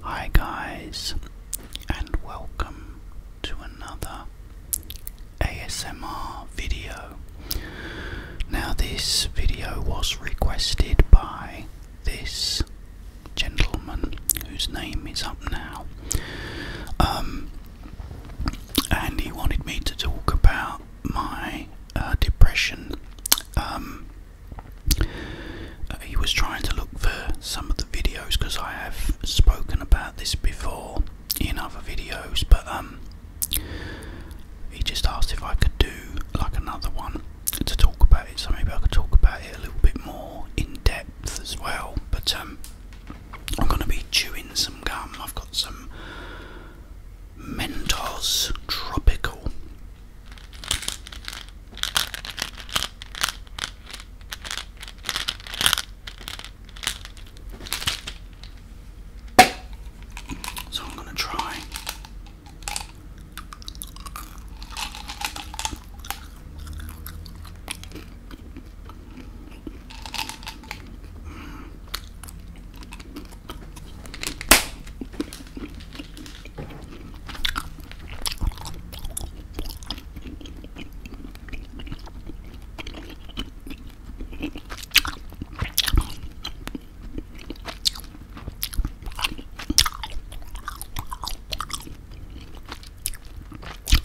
Hi, guys, and welcome to another ASMR video. Now, this video was requested by this gentleman whose name is up now, um, and he wanted me to talk about my uh, depression. Um, he was trying to look for some of the videos because I have spoken about this before in other videos, but um, he just asked if I could do like another one to talk about it, so maybe I could talk about it a little bit more in depth as well. But um, I'm going to be chewing some gum. I've got some Mentos Tropical. So I'm going to try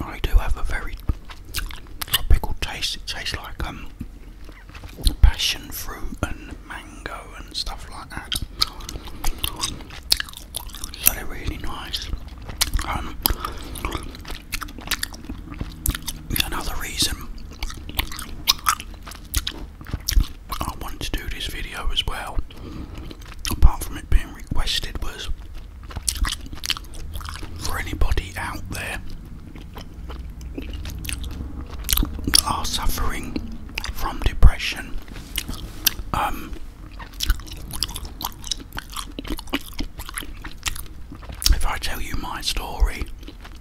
I do have a very tropical taste. It tastes like um passion fruit and mango and stuff like that. So they're really nice. Um, another reason I wanted to do this video as well, apart from it being requested, was for anybody out there that are suffering from depression. Um, if I tell you my story,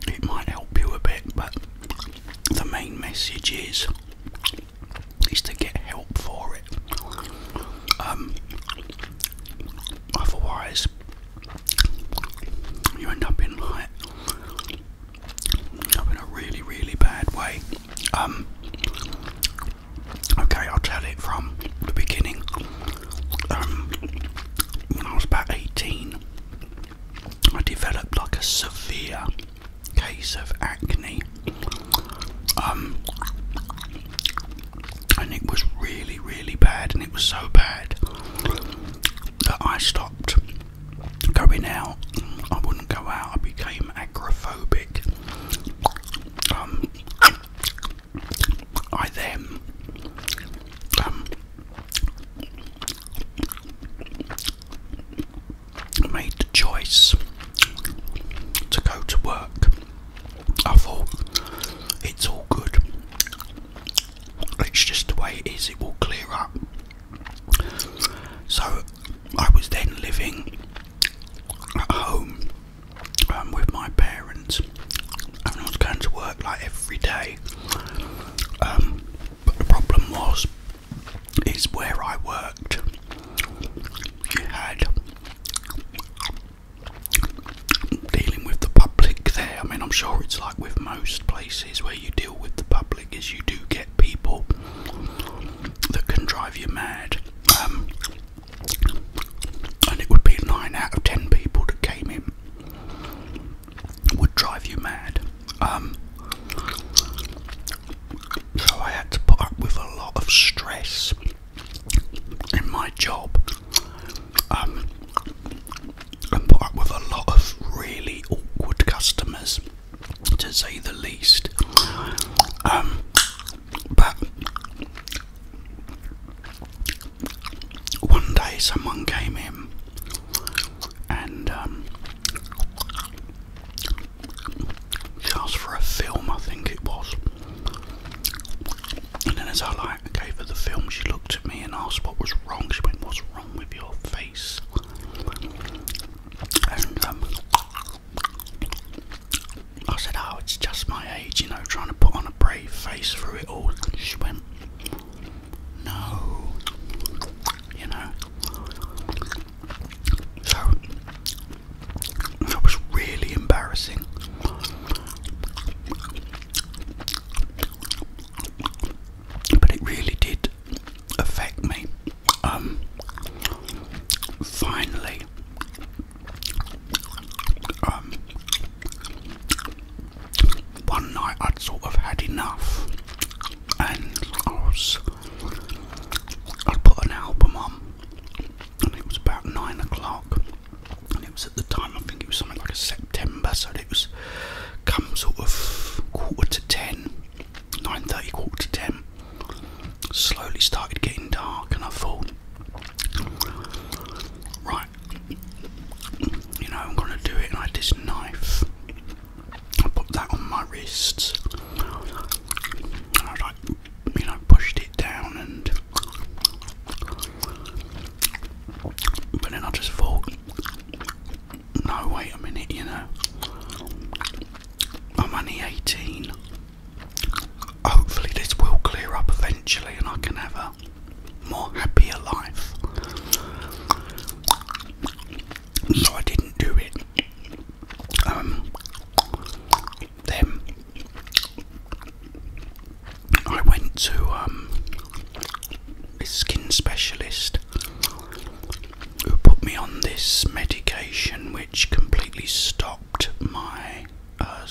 it might help you a bit, but the main message is is to get help for it. Um, otherwise, you end up in like end a really, really bad way. Um, okay, I'll tell it from the beginning. Um, when I was about eighteen, I developed like a severe case of acne. Um, and it was really, really bad, and it was so bad that I stopped going out. I wouldn't go out. I became agrophobic. Um, I then um, made the choice to go to work, I thought it's all good. It's just the way it is, it will clear up. So I was then living at home um, with my parents, and I was going to work like every day. Um, but the problem was, is where I worked, you had dealing with the public there. I mean, I'm sure it's like with most places where you deal with the public, is you do get people that can drive you mad. Um, and it would be nine out of ten people that came in would drive you mad. Um, so I had to put up with a lot of stress in my job um, put up with a lot of really awkward customers, to say the least. Um, but one day someone came in and um, just for a film, I think it was. And then as I like gave her the film, she looked at me and asked what was wrong. She went, "What's wrong with your face?" And um, I said, "Oh, it's just my age, you know, trying to put on a brave face through it all." she went, no, you know. So that was really embarrassing. But it really did affect me. Um, finally, um, one night I'd sort of had enough, and I was i put an album on, and it was about nine o'clock, and it was at the time I think it was something like a September, so it was come sort of quarter to ten, nine thirty, quarter to ten. Slowly started getting dark, and I thought, right, you know, I'm gonna do it, and I had this knife. I put that on my wrists and I like, you know, pushed it down and. But then I just thought, no, wait a minute, you know, I'm only 18. Hopefully, this will clear up eventually and I can have a more happier life so I didn't do it. Um, then I went to a um, skin specialist who put me on this medication which completely stopped my uh,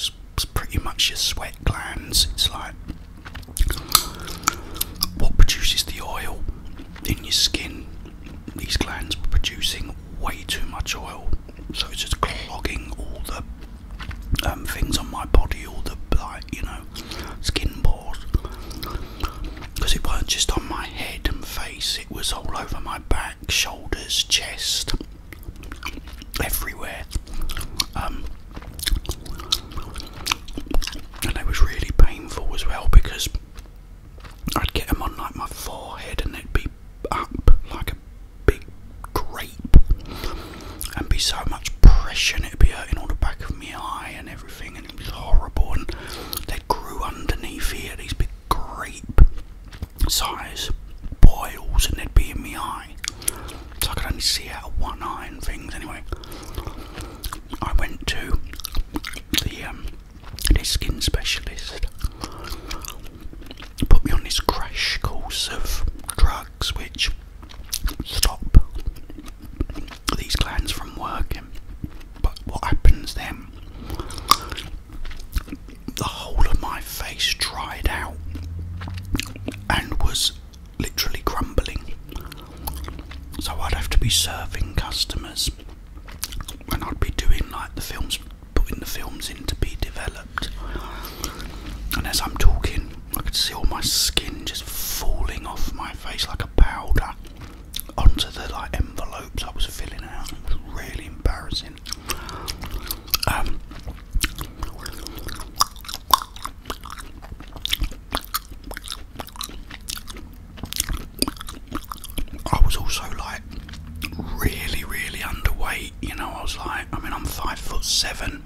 pretty much your sweat glands. It's like what produces the oil in your skin? These glands were producing way too much oil, so it's just clogging all the um, things on my body, all the like you know skin pores. Because it weren't just on my head and face; it was all over my back, shoulders, chest, everywhere. Um, and it was really painful as well because I'd get them on like my forehead and it would be up like a big grape and be so much pressure and it'd be hurting all the back of my eye and everything and it was horrible and they grew underneath here these big grape size boils and they'd be in my eye so I could only see out of one eye and things anyway I went to um, the skin specialist put me on this crash course of drugs which stop these glands from working. But what happens then? The whole of my face dried out and was literally crumbling. So I'd have to be serving customers, and I'd be doing like the films, putting the films in to be developed. And as I'm talking, I could see all my skin just falling off my face like a powder onto the like envelopes I was filling out. It was really embarrassing. Um, I was also like really, really underweight. You know, I was like, I mean, I'm five foot seven,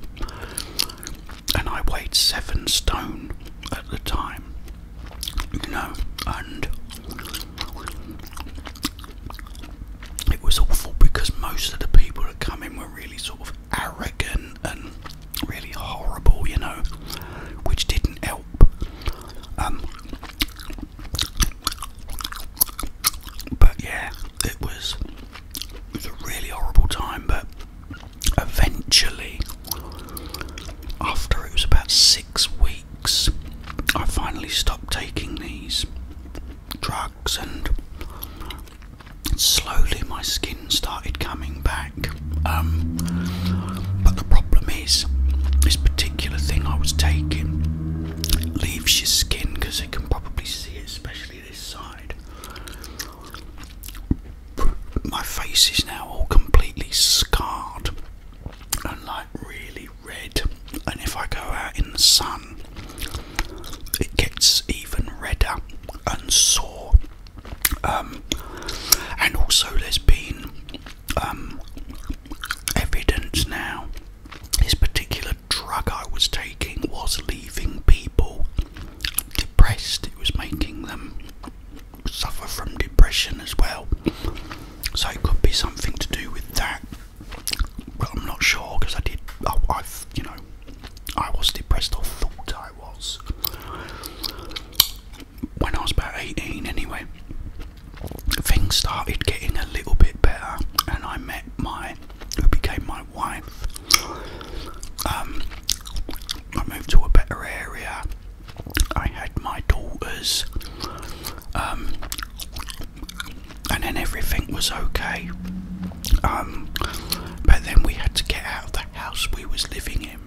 and I weighed seven stone at the time. You know, and it was awful because most of the people that come in were really sort of arrogant and really horrible, you know, which didn't help. Um, but yeah, it was it was a really horrible time. But eventually, after it was about six weeks, I finally stopped taking these drugs, and slowly my skin started coming back. Um, but the problem is, this particular thing I was taking leaves your skin because you can probably see it, especially this side. My face is now all completely scarred and like really red, and if I go out in the sun, it gets even redder and sore. Um, and also, there's been um, evidence now this particular drug I was taking was leaving people depressed, it was making them suffer from depression as well. So, it could be something to do with that. Well, I'm not sure because I did, oh, I've, you know, I was depressed or thought I was when I was about 18 anyway, things started getting a little bit better, and I met my who became my wife. Um, I moved to a better area. I had my daughters, um, and then everything was okay. Um, but then we had to get out of the house we was living in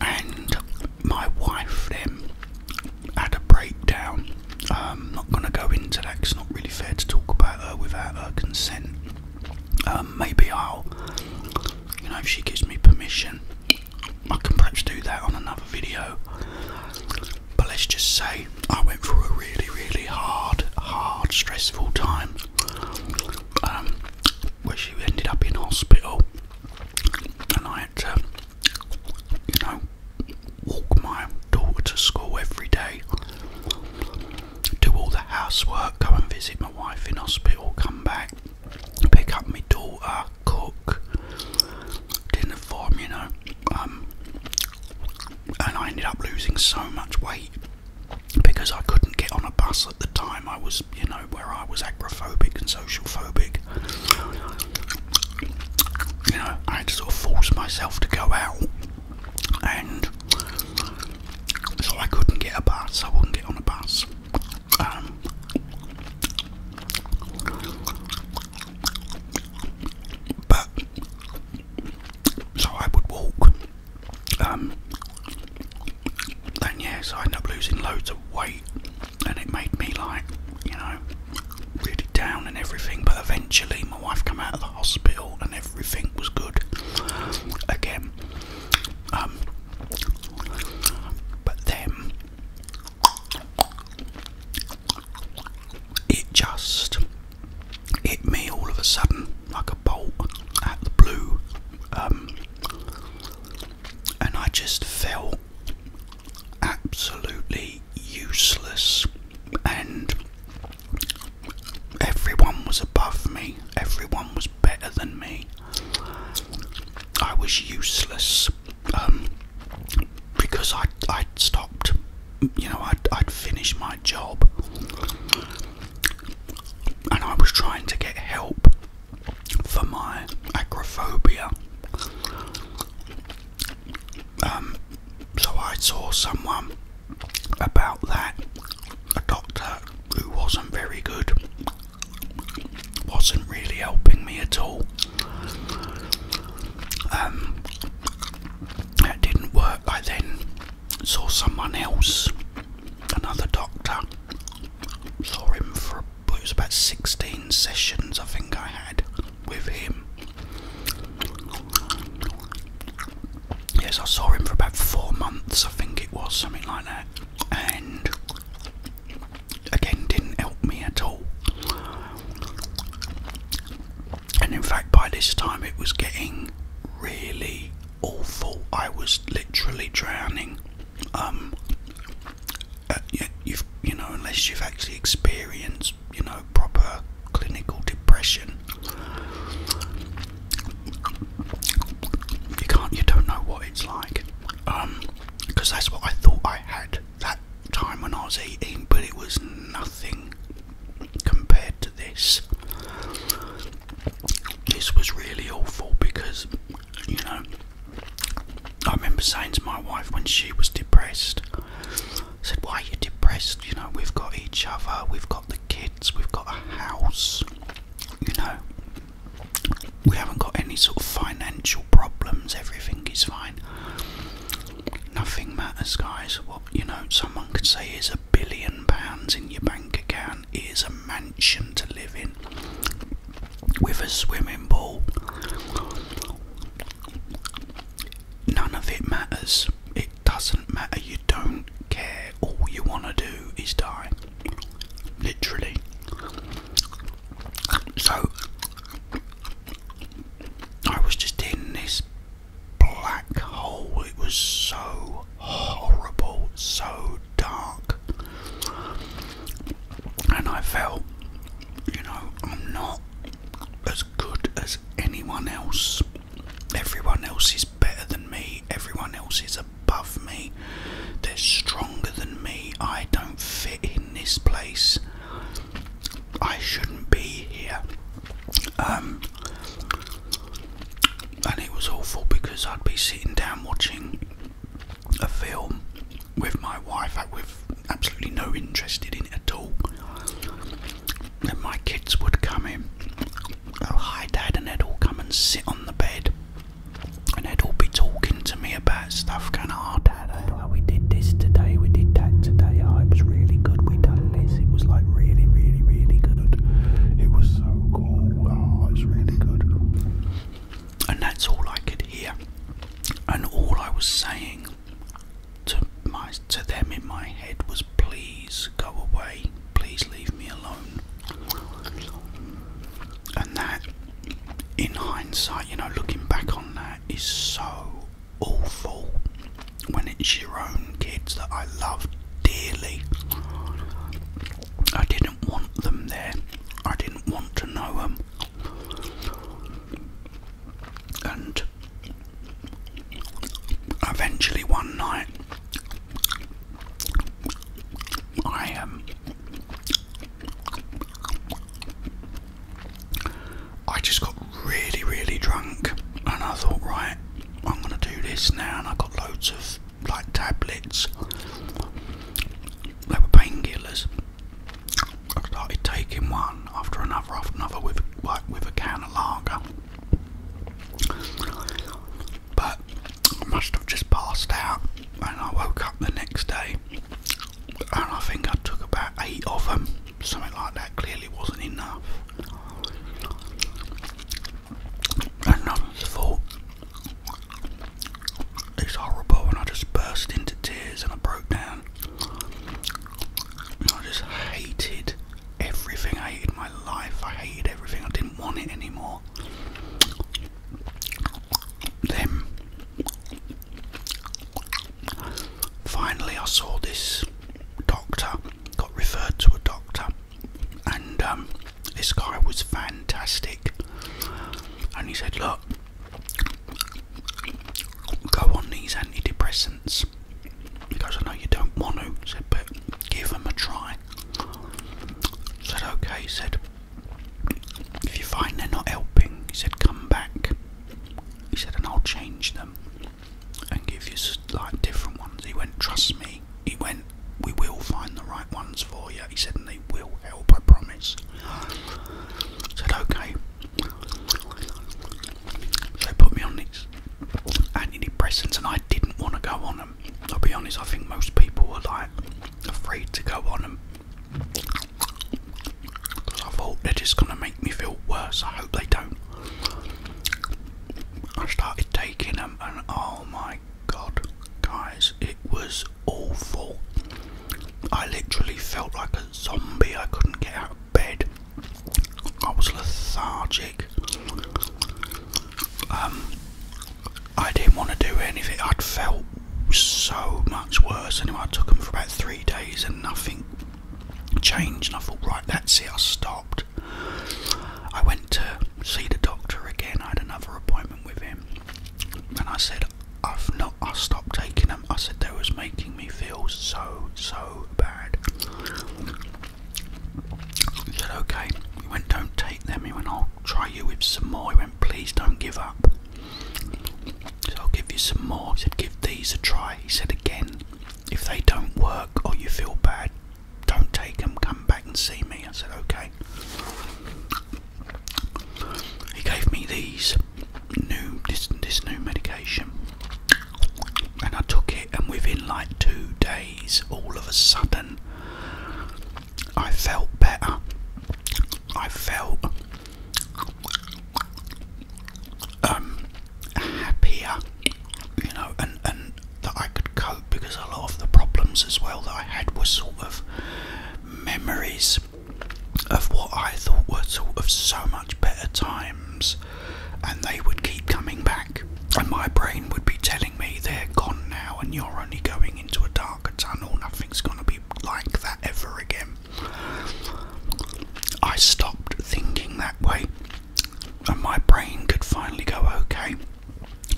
and my wife then had a breakdown. I'm um, not going to go into that, it's not really fair to talk about her without her consent. Um, maybe I'll, you know, if she gives me permission, I can perhaps do that on another video. But let's just say I went through a really, really hard, hard, stressful time um, where she ended up in hospital, and I had to, you know, walk my daughter to school every day, do all the housework, go and visit my wife in hospital, come back, pick up my daughter, cook, dinner for him, um, and I ended up losing so much weight because I couldn't get on a bus at the time. I was you know, where I was agrophobic and social phobic. You know, I had to sort of force myself to go out, and so I couldn't get a bus. I wouldn't get on a bus. Um, but so I would walk. Um, then yes, I ended up losing loads of weight, and it made me like, you know, really down and everything. But eventually, my wife came out of the hospital, and everything was good again. Um, but then it just hit me all of a sudden like a bolt out of the blue. Um, and I just felt absolutely useless, and everyone was above me, everyone was better than me. I was useless um, because I I stopped. You know, I'd, I'd finished my job, and I was trying to get help for my agrophobia, um, so I saw someone about that, a doctor who wasn't very good, wasn't really helping me at all. Um, that didn't work. I then saw someone else another doctor saw him for it was about 16 sessions I think I had with him. Yes, I saw him for about four months, I think it was, something like that. And again, didn't help me at all. And in fact, by this time it was getting really awful. I was literally drowning. Um, uh, you, have you know unless you've actually experienced you know proper clinical depression you can't you don't know what it's like um because that's what I thought I had that time when I was eating but it was nothing compared to this this was really awful because you know. I remember saying to my wife when she was depressed, I said, Why are you depressed? You know, we've got each other, we've got the kids, we've got a house, you know, we haven't got any sort of financial problems, everything is fine. Nothing matters, guys. What you know, someone could say is a billion pounds in your bank account is a mansion to live in with a swimming pool. None of it matters. It doesn't matter. You don't care. All you want to do is die. Literally. So, I was just in this black hole. It was so horrible, so dark. And I felt, you know, I'm not as good as anyone else. Everyone else is better than me, everyone else is above me, they're stronger than me. I don't fit in this place, I shouldn't be here. Um, and it was awful because I'd be sitting down watching a film with my wife that we absolutely no interest in at all. Then my kids would come in, oh hi dad, and they'd all come and sit on the bed and they'd all be talking to me about stuff going, oh dad, oh, we did this today, we did that today, oh was really good, we done this, it was like really, really, really good. It was so cool, oh it really good and that's all I could hear. And all I was saying to my to them in my head was, "Please go away. Please leave me alone." And that, in hindsight, you know, looking back on that, is so awful when it's your own kids that I love dearly. I did want them there. I didn't want to know them. And eventually one night I um I just got really really drunk and I thought right I'm gonna do this now and I got loads of like tablets. They were painkillers. I started taking one after another, after another, with with a can of lager. But I must have just passed out, and I woke up the next day, and I think I took about eight of them, something like that. Clearly wasn't enough. And I thought, it's horrible, and I just burst into tears and I broke down. I just hated everything. I hated my life. I hated everything. I didn't want it anymore. Then finally, I saw this doctor. Got referred to a doctor, and um, this guy was fantastic, and he said, Look, go on these antidepressants. He I know you don't want to, said, but give them a try. Said, okay, he said, if you find they're not helping, he said, come back. He said, and I'll change them and give you like different ones. He went, trust me. He went, we will find the right." ones for you. He said, and they will help, I promise. I said, okay. They put me on these antidepressants, and I didn't want to go on them. I'll be honest, I think most people were like afraid to go on them. Because I thought they're just going to make me feel worse. I hope they don't. I started taking them, and oh my god, guys, it was awful. I literally felt like a zombie. I couldn't get out of bed. I was lethargic. Um, I didn't want to do anything. I'd felt so much worse. Anyway, I took them for about three days and nothing changed. And I thought, right, that's it. I stopped. I went to see the doctor again. I had another appointment with him, and I said, I've not. I stopped taking them. I said they was making me feel so so bad. He said, "Okay." He went, "Don't take them." He went, "I'll try you with some more." He went, "Please don't give up." So I'll give you some more. I said, "Give these a try." He said again, "If they don't work or you feel bad, don't take them. Come back and see me." I said, "Okay." He gave me these new this this new medication, and I took it, and within like two days, all of a sudden, I felt better. I felt um happier, you know, and and that I could cope because a lot of the problems as well that I had were sort of memories of what I thought were of so much better times, and they would keep coming back, and my brain would be telling me they're gone now, and you're only going into a darker tunnel, nothing's going to be like that ever again. I stopped thinking that way, and my brain could finally go, okay,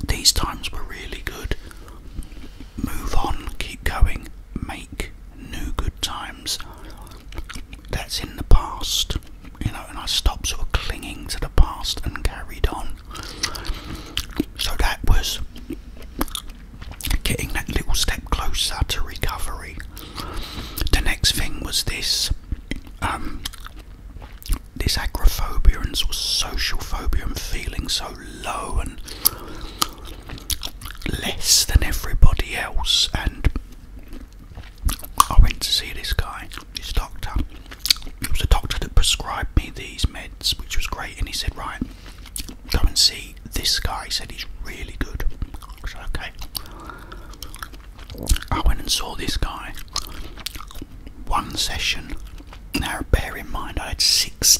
these times were really good move on, keep going, make new good times. That's in the past, you know, and I stopped sort of clinging to the past and carried on. So that was getting that little step closer to recovery. The next thing was this um, this agoraphobia and social phobia and feeling so low and less than everybody else, and I went to see this guy, this doctor. It was a doctor that prescribed me these meds, which was great, and he said, Right, go and see this guy. He said he's really good. Okay. I went and saw this guy. One session. Now, bear in mind, I had six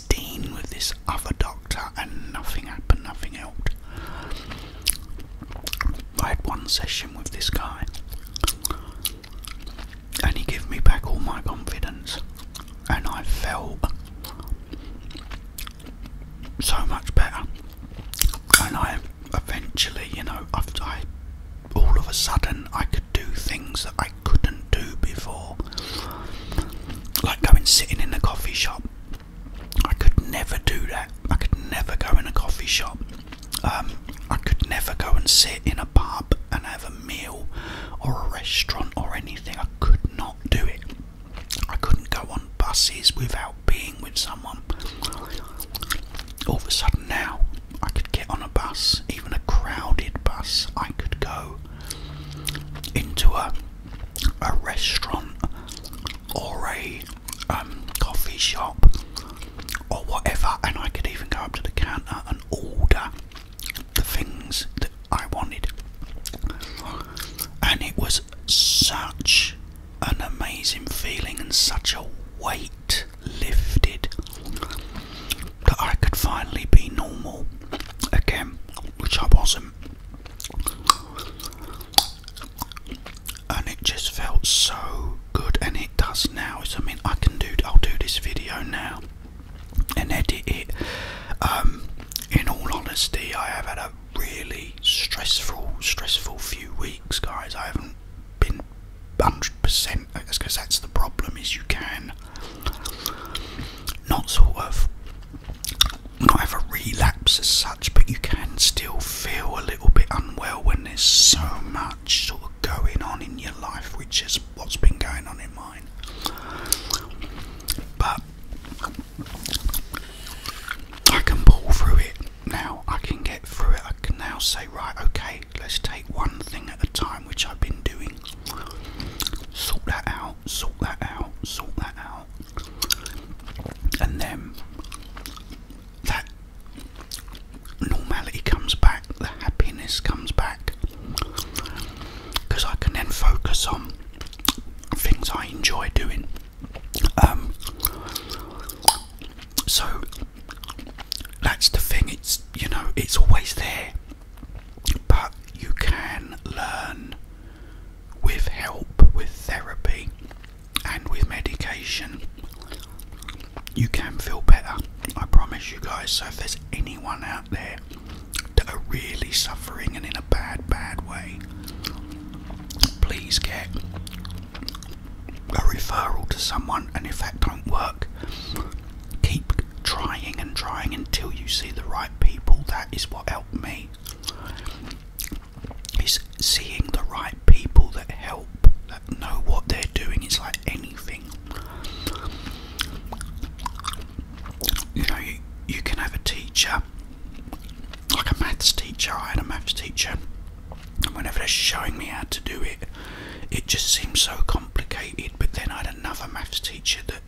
with this other doctor and nothing happened, nothing helped. I had one session with this guy and he gave me back all my confidence and I felt so much better. And I eventually, you know, i I all of a sudden I could do things that I couldn't do before. Like going sitting in a coffee shop. I could never do that. I could never go in a coffee shop. Um, I could never go and sit in a pub and have a meal or a restaurant or anything. I could not do it. I couldn't go on buses without being with someone. All of a sudden now, I could get on a bus, even a crowded bus. I could go into a a restaurant or a um, coffee shop or whatever, and I could even go up to the counter and order the things that I wanted. And it was such an amazing feeling and such a weight lifted that I could finally be normal again which I wasn't, and it just felt so good, and it does now. I mean, I can do, I'll do this video now and edit it. Um, in all honesty, I have had a really stressful, stressful few weeks, guys. I haven't been 100% because that's the problem is you can not sort of not have a relapse as such, but you can still feel a little bit unwell when there's so much sort of going on in your life, which is what's been going on in mine. But I can pull through it now, I can get through it. I can now say, right, okay, let's take one thing at a time, which I've been doing, sort that out, sort that out, sort that out, and then that normality comes back, the happiness comes back, because I can then focus on things I enjoy doing. Um, so that's the thing. It's you know it's always there, but you can learn with help, with therapy, and with medication, you can feel better. I promise you guys. So, if there's anyone out there that are really suffering and in a bad, bad way, please get a referral to someone. And if that don't work, keep trying and trying until you see the right people. That is what helped me. Is seeing the right people that help, that know what they're doing. It's like anything. You know, you, can have a teacher, like a maths teacher. I had a maths teacher, and whenever they're showing me how to do it, it just seems so complicated. But then I had another maths teacher that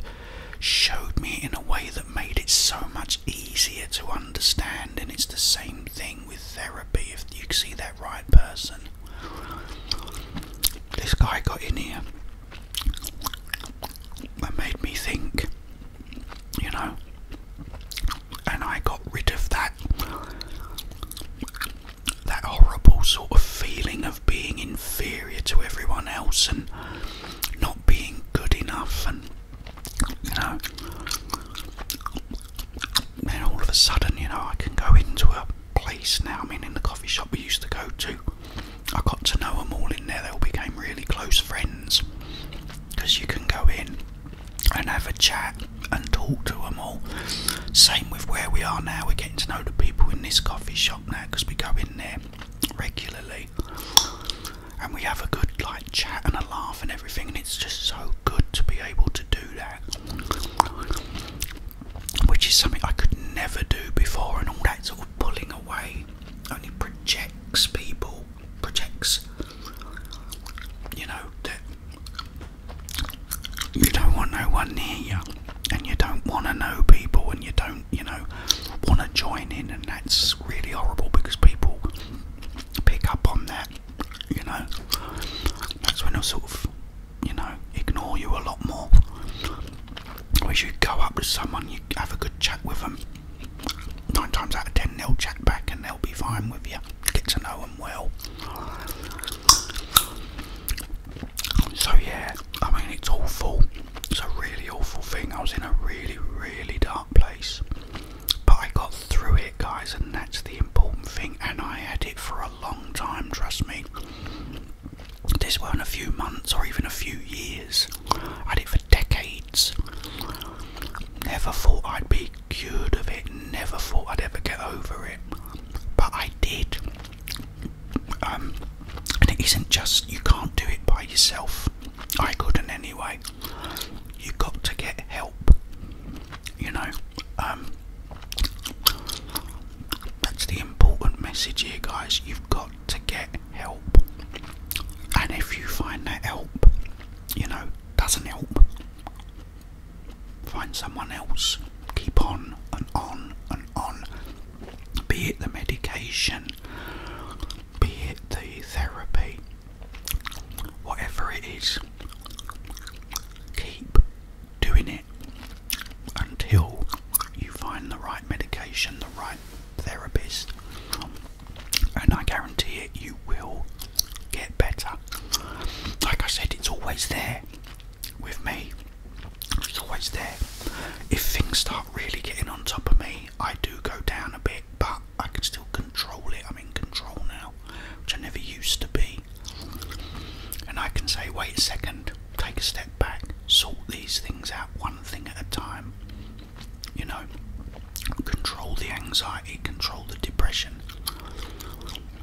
showed me in a way that made it so much easier to understand. And it's the same thing with therapy if you see that right person. This guy got in here and made me think, you know, and I got rid of that. That horrible sort of feeling of being inferior to everyone else and not being good enough and you know then all of a sudden you know I can go into a place now I mean in the coffee shop we used to go to I got to know them all in there they all became really close friends because you can go in and have a chat and talk to them all same with where we are now we're getting to know the people in this coffee shop now because we go in there regularly, and we have a good like chat and a laugh and everything, and it's just so good to be able to do that, which is something I could never do before, and all that sort of pulling away only projects people, projects, you know that. You don't want no one near you, and you don't want to know people, and you don't um, you know, want to join in, and that's really horrible because people pick up on that, you know. That's when they'll sort of, you know, ignore you a lot more. Whereas you go up to someone, you have a good chat with them. Nine times out of ten, they'll chat back and they'll be fine with you. Get to know them well. So yeah, I mean it's all full. It's a really awful thing. I was in a really, really dark place. But I got through it, guys, and that's the important thing. And I had it for a long time, trust me. This was not a few months or even a few years. I had it for decades. Never thought I'd be cured of it, never thought I'd ever get over it. But I did. Um, and it isn't just you can't do it by yourself. I couldn't anyway. You got to get help. You know, um, that's the important message here, guys. You've got to get help. And if you find that help, you know, doesn't help, find someone else. Keep on and on and on. Be it the medication, be it the therapy, whatever it is, keep doing it until you find the right medication, the right therapist, and I guarantee it you will get better. Like I said, it's always there with me, it's always there. If things start really getting on top of me, I do go down a bit, but I can still control it. I'm in control now, which I never used to be. And I can say, wait a second, take a step back, sort these things out one thing at a time. You know, control the anxiety, control the depression.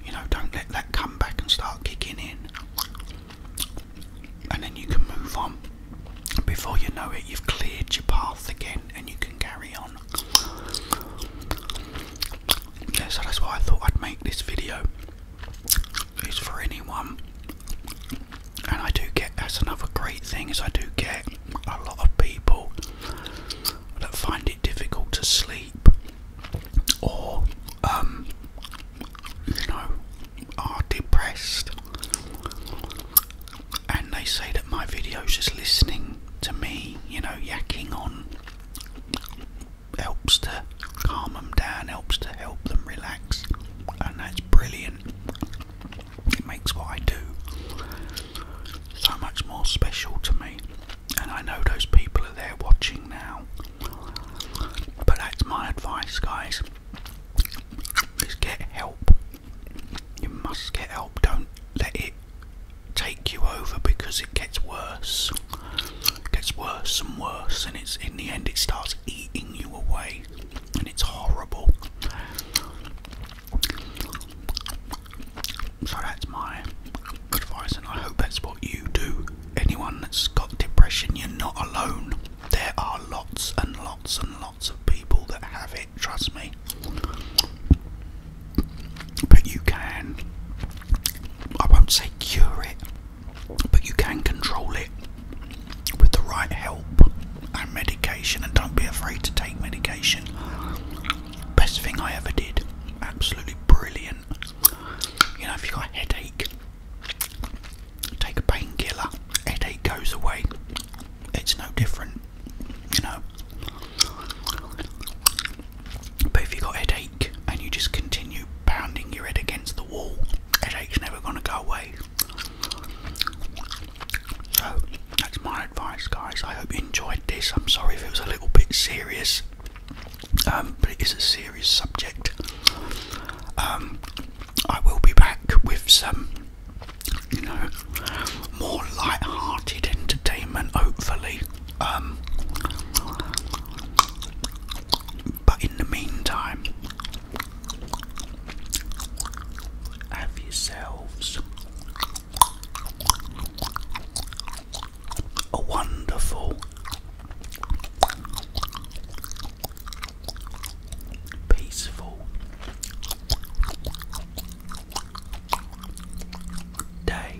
You know, don't let that come back and start kicking in and then you can move on. Before you know it, you've cleared your path again and you can carry on. Yeah, so that's why I thought I'd make this video. It's for anyone. And I do get, that's another great thing, is I do get a lot of people that find it difficult to sleep or, um, you know, are depressed and they say that my videos just listening to me, you know, yakking on helps to calm them down, helps to help them relax, and that's brilliant. It makes what I do so much more special to me, and I know those people are there watching now. But that's my advice, guys is get help. You must get help. Don't let it take you over because it gets worse. gets worse and worse, and it's in the end it starts eating you away, and it's horrible. So that's my advice, and I hope that's what you do. Anyone that's got depression, you're not alone. There are lots and lots and lots of people that have it, trust me. But you can, I won't say cure it, but you can control it with the right help and medication, and don't be afraid to take medication. Best thing I ever did, absolutely brilliant. You know, if you got a headache, take a painkiller, headache goes away. It's no different, you know. But if you've got headache and you just continue pounding your head against the wall, headache's never going to go away. So that's my advice, guys. I hope you enjoyed this. I'm sorry if it was a little bit serious, um, but it is a serious subject. Um, I will be back with some you know, more light-hearted entertainment, hopefully. Um, but in the meantime, have yourselves a wonderful peaceful day.